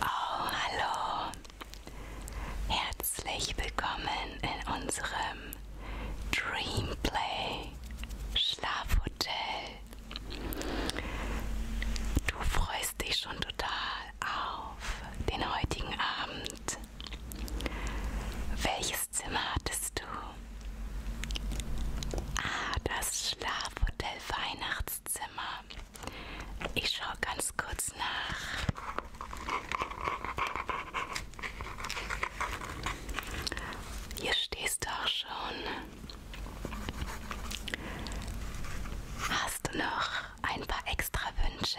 Oh, hallo. Herzlich willkommen in unserem Dreamplay Schlafhotel. Du freust dich schon total auf den heutigen Abend. Welches Zimmer hattest du? Ah, das Schlafhotel Weihnachtszimmer. Ich schaue ganz kurz nach. Hier stehst du auch schon. Hast du noch noch ein paar extra Wünsche.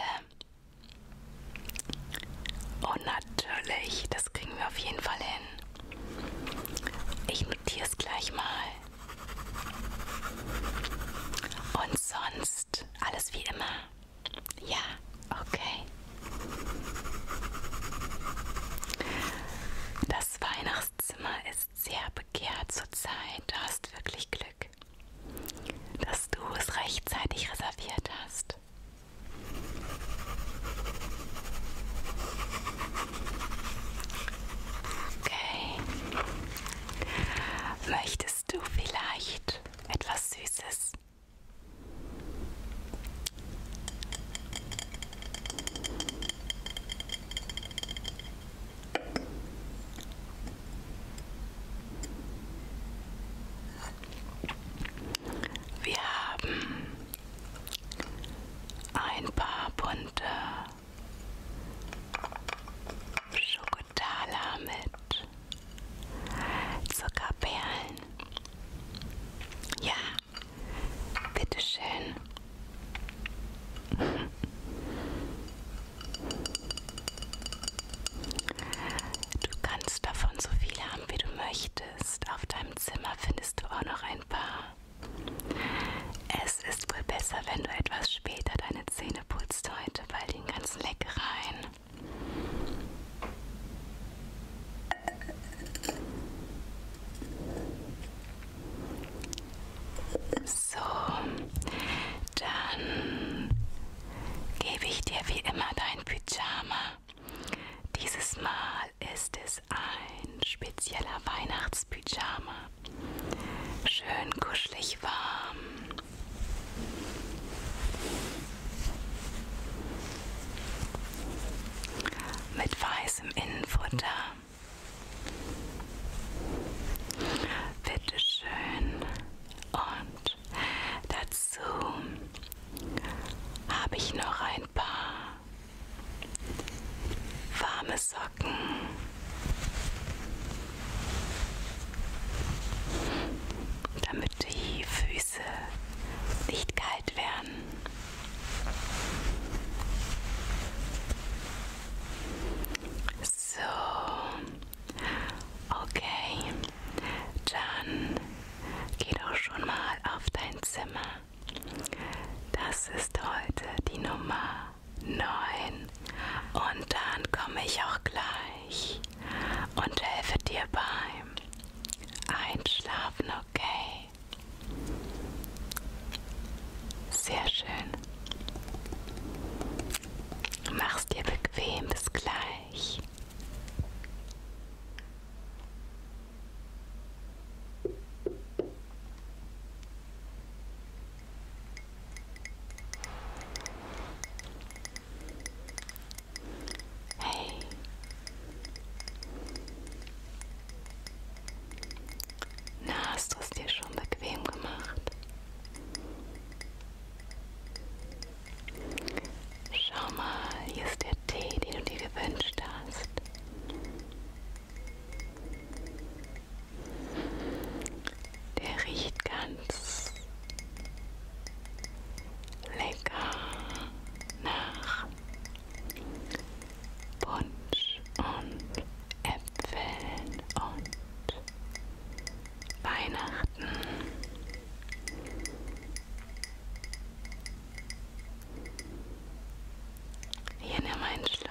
Und natürlich, das kriegen wir auf jeden Fall hin. Ich notiere es gleich mal. Und sonst alles wie immer. Ja, okay. Das Weihnachtszimmer ist sehr begehrt zurzeit. Du hast wirklich Glück dass du es rechtzeitig reserviert hast. Okay. Möchtest du vielleicht etwas Süßes? Wir haben ein paar bunte Schokotaler mit Zuckerperlen. Ja, bitteschön. Du kannst davon so viele haben, wie du möchtest. Auf deinem Zimmer findest du auch noch ein paar. Es ist wohl besser, wenn du etwas später deine Zähne putzt heute bei den ganzen Leckereien. So, dann gebe ich dir wie immer dein Pyjama. Dieses Mal ist es ein spezieller Weihnachtspyjama. Schön kuschelig warm. Mit weißem Innenfutter. Bitte schön. Und dazu habe ich noch ein paar warme Socken. Damit die Füße nicht kalt werden. So, okay, dann geh doch schon mal auf dein Zimmer. Das ist heute die Nummer 9. Und dann komme ich auch gleich und helfe dir beim Einschlafen, okay? Sehr schön. Mach's dir bequem, bis gleich. Hey. Na, hast du es dir schon bequem gemacht? Schau mal, hier ist der Tee, den du dir gewünscht hast. Der riecht ganz lecker nach Punsch und Äpfeln und Weihnachten. Hier nimm einen Schluck.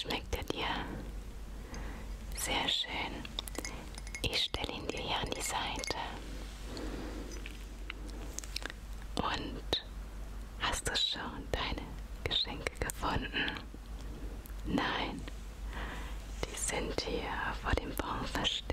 Schmeckt er dir? Sehr schön. Ich stelle ihn dir hier an die Seite. Und Gut. Hast du schon deine Geschenke gefunden? Nein. Die sind hier vor dem Baum versteckt.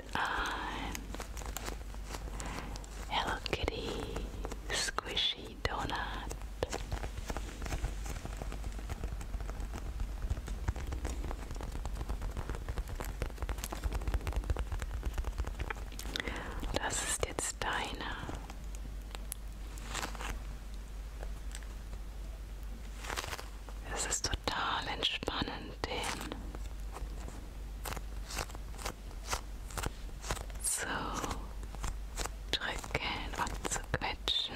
ist ein Hello Kitty Squishy Donut. Das ist jetzt deiner. Es ist total entspannend den zu drücken und zu quetschen.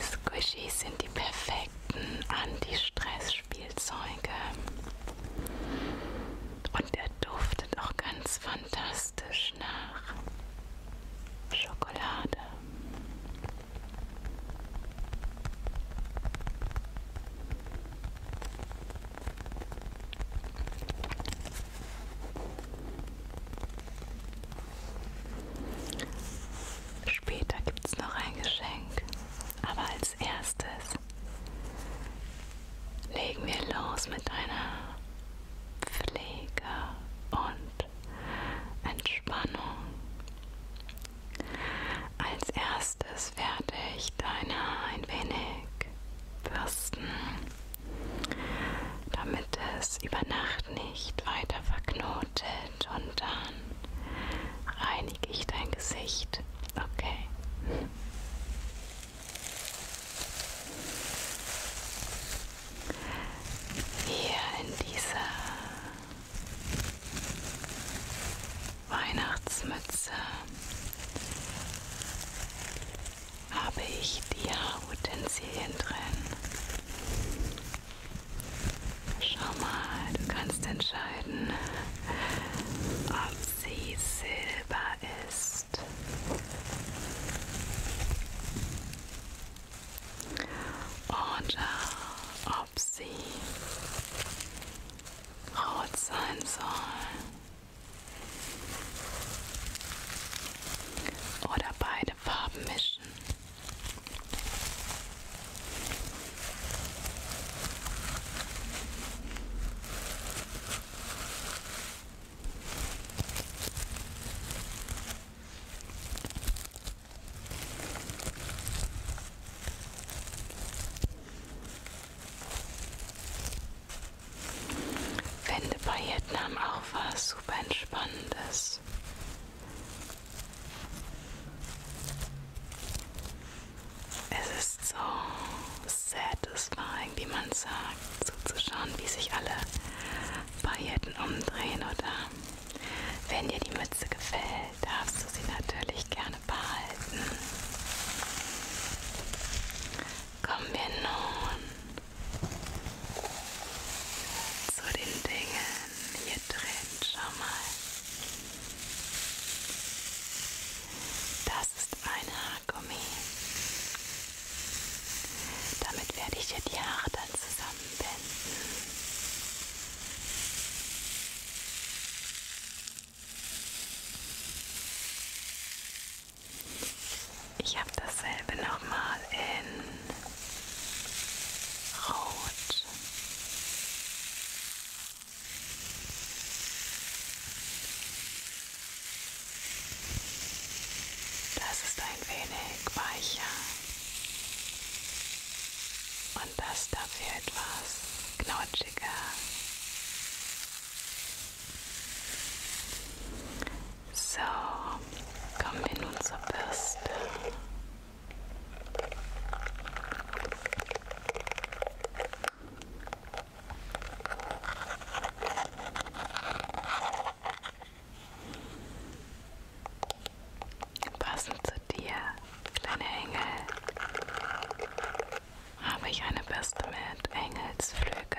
Squishies sind die perfekten Anti-Stress-Spielzeuge. Und er duftet auch ganz fantastisch nach Schokolade. Später gibt es noch ein Geschenk, aber als erstes legen wir los mit einer Pflege und Entspannung als erstes werde ich deine ein wenig bürsten, damit es über Nacht nicht weiter verknotet und dann reinige ich dein Gesicht. Okay. Hier in dieser Weihnachtsmütze habe ich die Haarutensilien drin. Schau mal, du kannst entscheiden, ob sie silber ist oder äh, ob sie rot sein soll oder beide Farben mischen. Finde bei Vietnam auch was super entspannendes. Es ist so satisfying, wie man sagt, so zuzuschauen, wie sich alle Pailletten umdrehen oder wenn dir die Mütze gefällt, darfst du sie natürlich gerne behalten. Kommen wir nun zu den Dingen hier drin. Schau mal. Das ist ein Haargummi. Damit werde ich dir die Haare dann zusammen Armbänden. Ich habe dasselbe nochmal in Rot. Das ist ein wenig weicher. Und das dafür etwas knautschiger. So, kommen wir nun zur Bürste. Passend zu dir, kleine Engel, habe ich eine Bürste mit Engelsflügeln.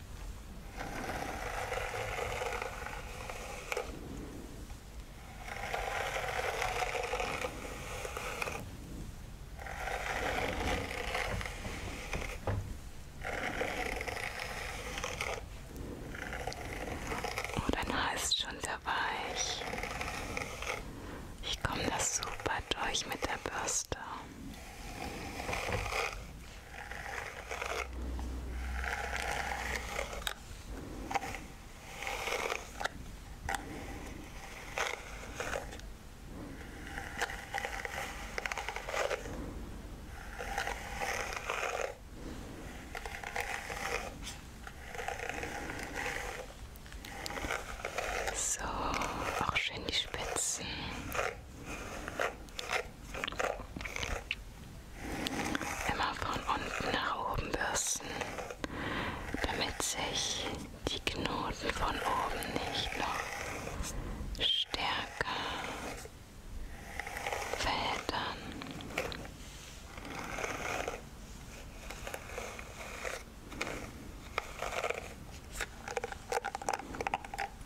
Oh, dein Haar ist schon sehr weich. Ich komme das super durch mit der Bürste. So, auch schön die Spitzen. Immer von unten nach oben bürsten, damit sich die Knoten von oben nicht noch stärker verheddern.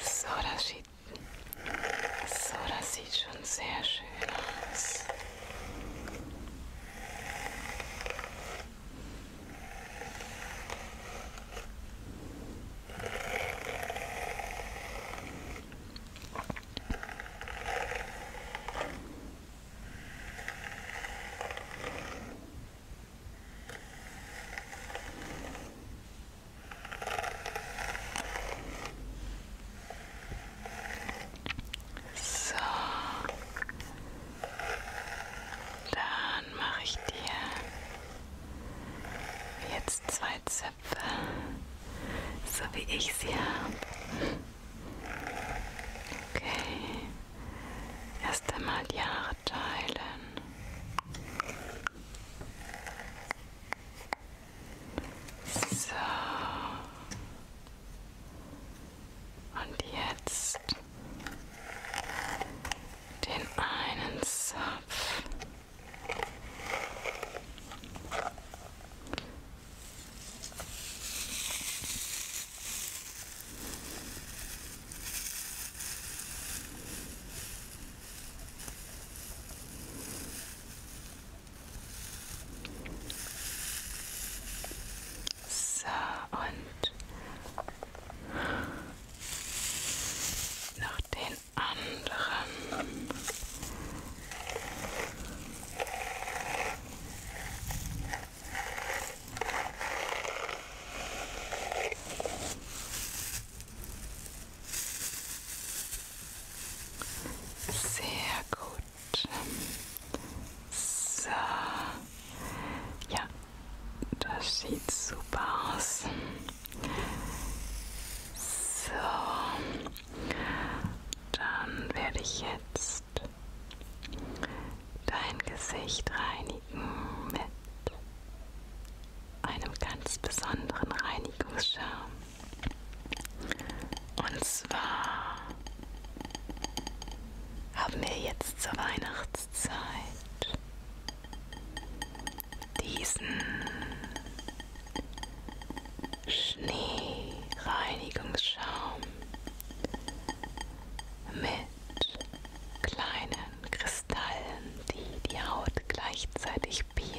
So, das sieht, so, das sieht schon sehr schön aus. So. Dann mache ich dir jetzt zwei Zöpfe, so wie ich sie habe. Okay. Erst einmal die Haare verteilen. So. Und jetzt den einen Zopf. So, und noch den anderen. Sehr gut. So. Ja, das sieht super aus. So. Dann werde ich jetzt dein Gesicht reinigen mit einem ganz besonderen Reinigungsschaum. Und zwar haben wir jetzt zur Weihnachtszeit diesen Schneereinigungsschaum mit kleinen Kristallen, die die Haut gleichzeitig peelen.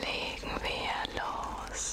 legen wir los.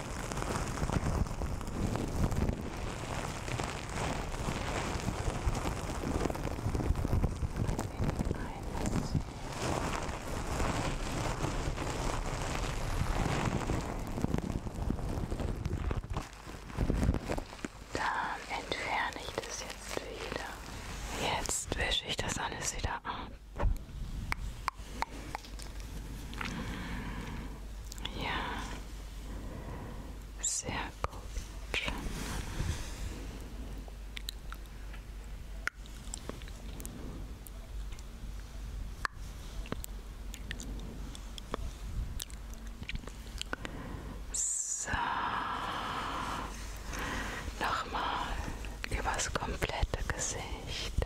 Dann entferne ich das jetzt wieder. Jetzt wische ich das alles wieder ab. Ja, sehr gut. So, nochmal übers komplette Gesicht.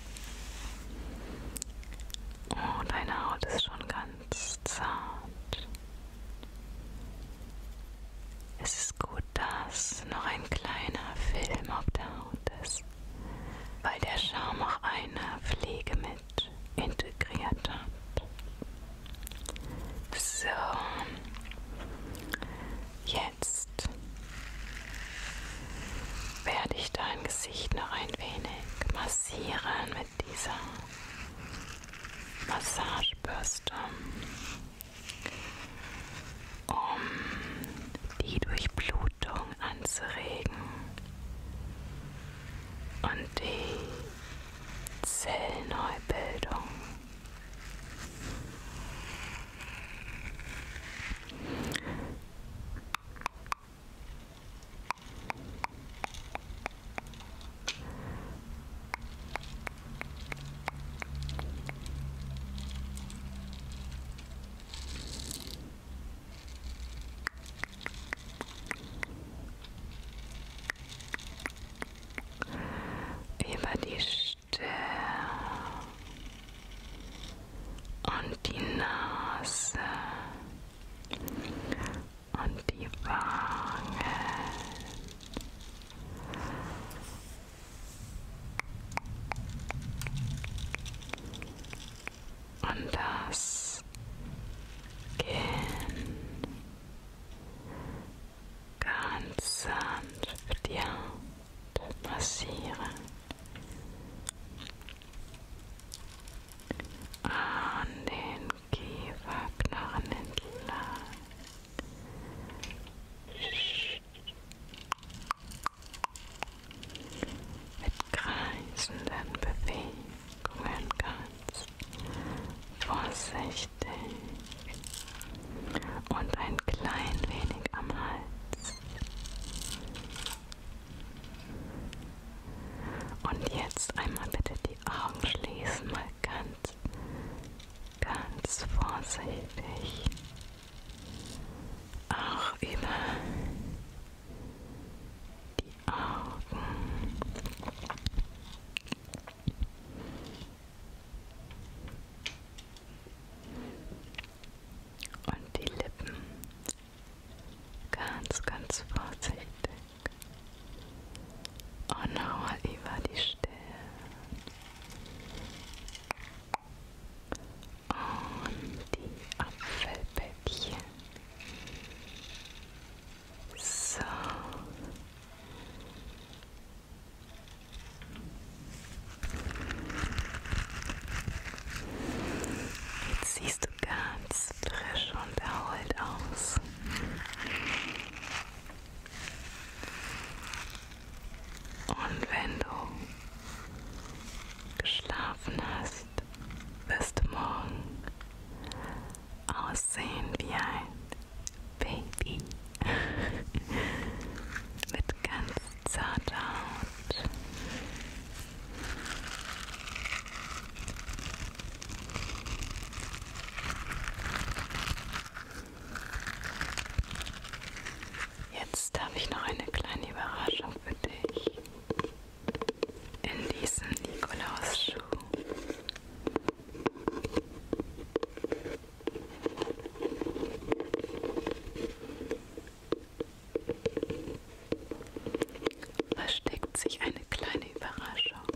Oh, deine Haut ist schon ganz zart. Es ist gut, dass noch ein kleiner Film auf der Haut ist, weil der Schaum auch eine Pflege mit integriert hat. So, jetzt werde ich dein Gesicht noch ein wenig massieren massieren mit dieser Massagebürste, um die Durchblutung anzuregen und die Zellneubildung über die Stirn und die Nase und die Wangen. Und das Kinn ganz sanft die Hand massieren an den Kieferknochen entlang. Mit kreisenden Bewegungen ganz vorsichtig und ein klein wenig am Hals und jetzt einmal bitte die Augen schließen, mal ganz, ganz vorsichtig. Auch über die Augen. Und die Lippen Ganz, ganz vorsichtig. Und oh, nochmal über die Stirn. Und die Apfelbäckchen. So. Jetzt siehst sieht ganz frisch und erholt aus. Und wenn du geschlafen hast, wirst du morgen aussehen wie ein Baby mit ganz zart Haut. Jetzt habe ich noch eine kleine Überraschung für dich. In diesem Nikolausschuh versteckt sich eine kleine Überraschung.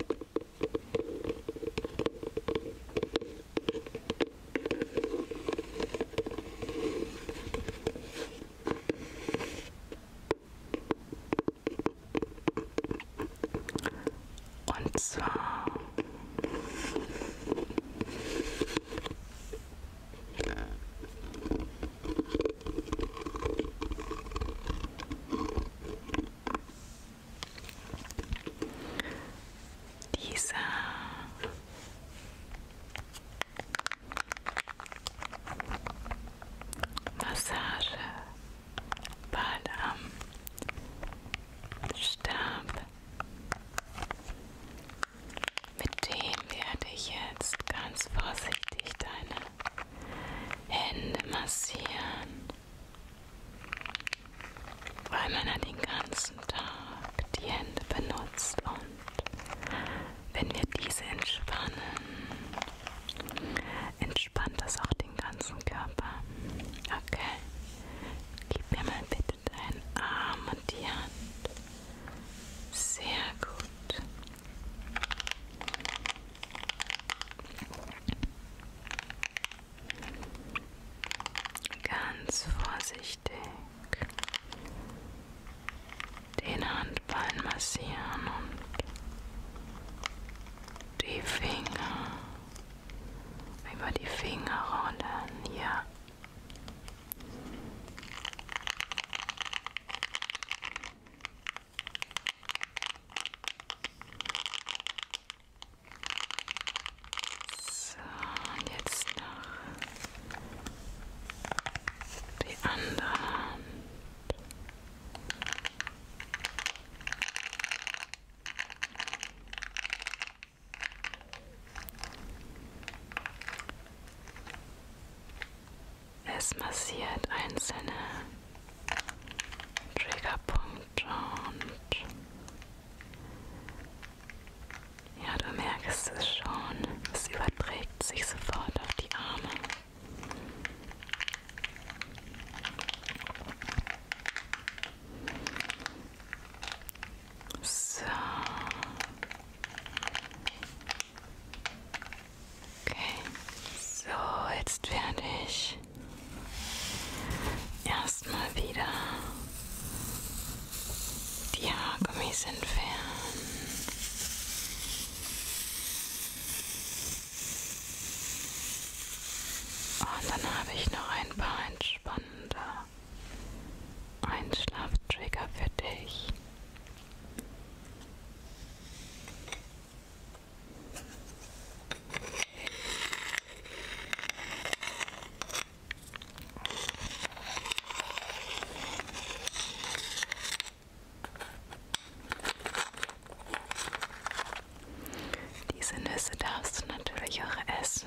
Und zwar dieser Massage Ball am Stab mit dem werde ich jetzt ganz vorsichtig deine Hände massieren, weil man ja den ganzen Tag die Hände benutzt und wenn wir diese entspannen, entspannt das auch den ganzen Körper. Okay, gib mir mal bitte deinen Arm und die Hand. Sehr gut. Ganz vorsichtig den Handballen massieren und die Finger über die Finger rollen. Ja. So, und jetzt noch die andere Hand. Es massiert einzelne Triggerpunkte und ja, du merkst es schon, es überträgt sich sofort auf die Arme. So. Okay. So, jetzt werde ich erstmal wieder die Haargummis entfernen. Und dann habe ich noch ein paar entspannende ein Schlaftrigger für dich. Diese Nüsse darfst du natürlich auch essen.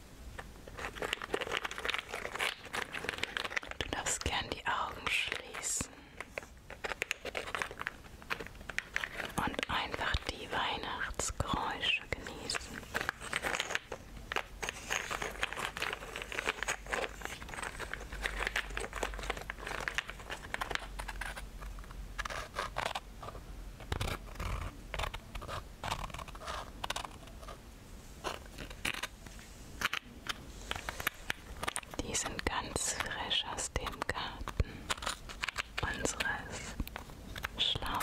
Du darfst gern die Augen schließen und einfach die Weihnachtsgeräusche genießen. Die sind ganz frisch aus dem Garten unseres Schlafhotels.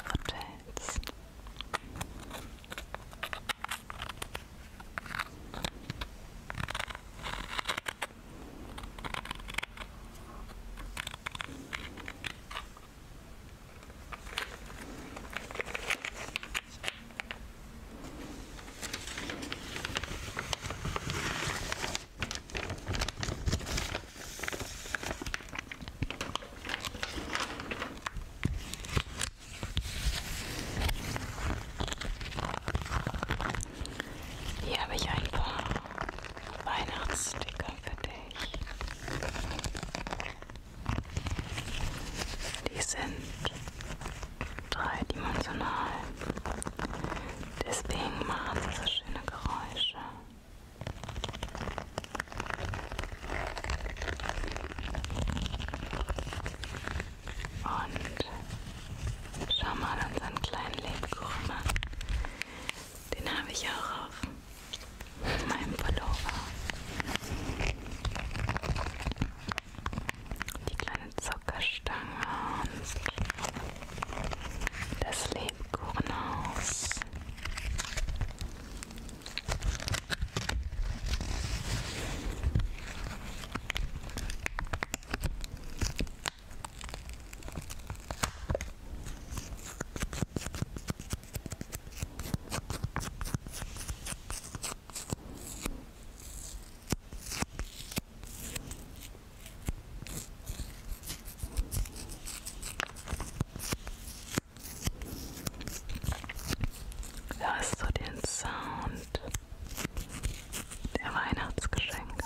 Hier habe ich ein paar Weihnachtssticker für dich. Die sind dreidimensional. Deswegen machen sie so schöne Geräusche. Und schau mal unseren kleinen Lebkuchen. Den habe ich auch auf mit meinem Pullover. Die kleine Zuckerstange und das Lebkuchenhaus. Hörst du den Sound der Weihnachtsgeschenke?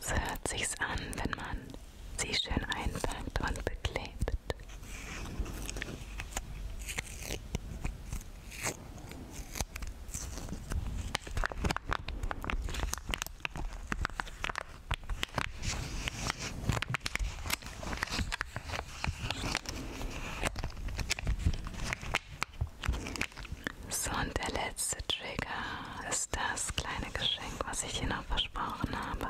So hört sich's an, wenn man sie schön einpackt und beklebt. So, und der letzte Trigger ist das kleine Geschenk, was ich hier noch versprochen habe.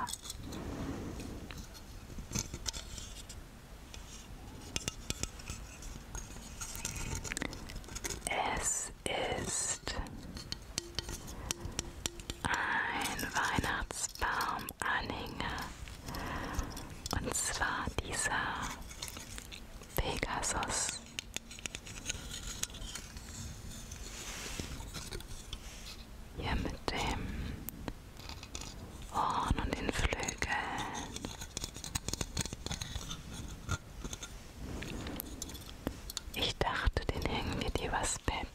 Es ist ein Weihnachtsbaumanhänger und zwar dieser Pegasus hier mit dem Horn und den Flügeln. Ich dachte, den hängen wir dir was Bett.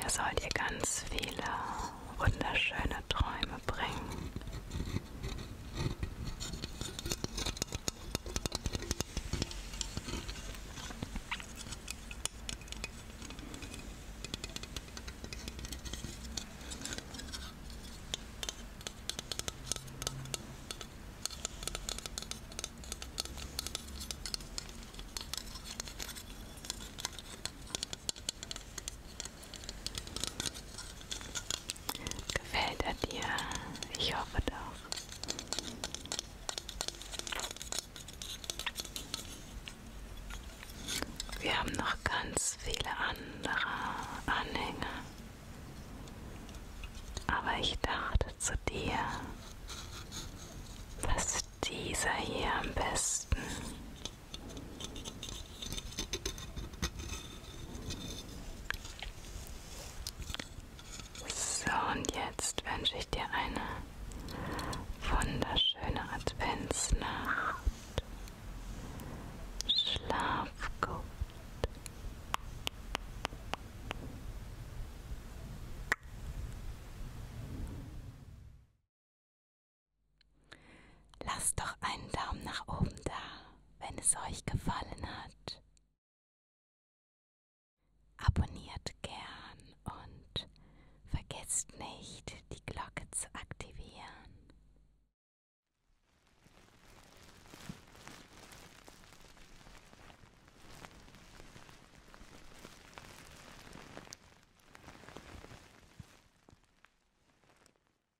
Der soll dir ganz viele wunderschöne Träume verbringen. Gefällt er dir? Ich hoffe doch. Wir haben noch ganz viele andere Anhänger. Aber ich dachte zu dir, dass dieser hier am besten so, und jetzt wünsche ich dir eine wunderschöne Adventsnacht. Schlaf gut. Lass doch einen Daumen nach oben da wenn es euch gefallen hat. Abonniert gern und vergesst nicht, die Glocke zu aktivieren.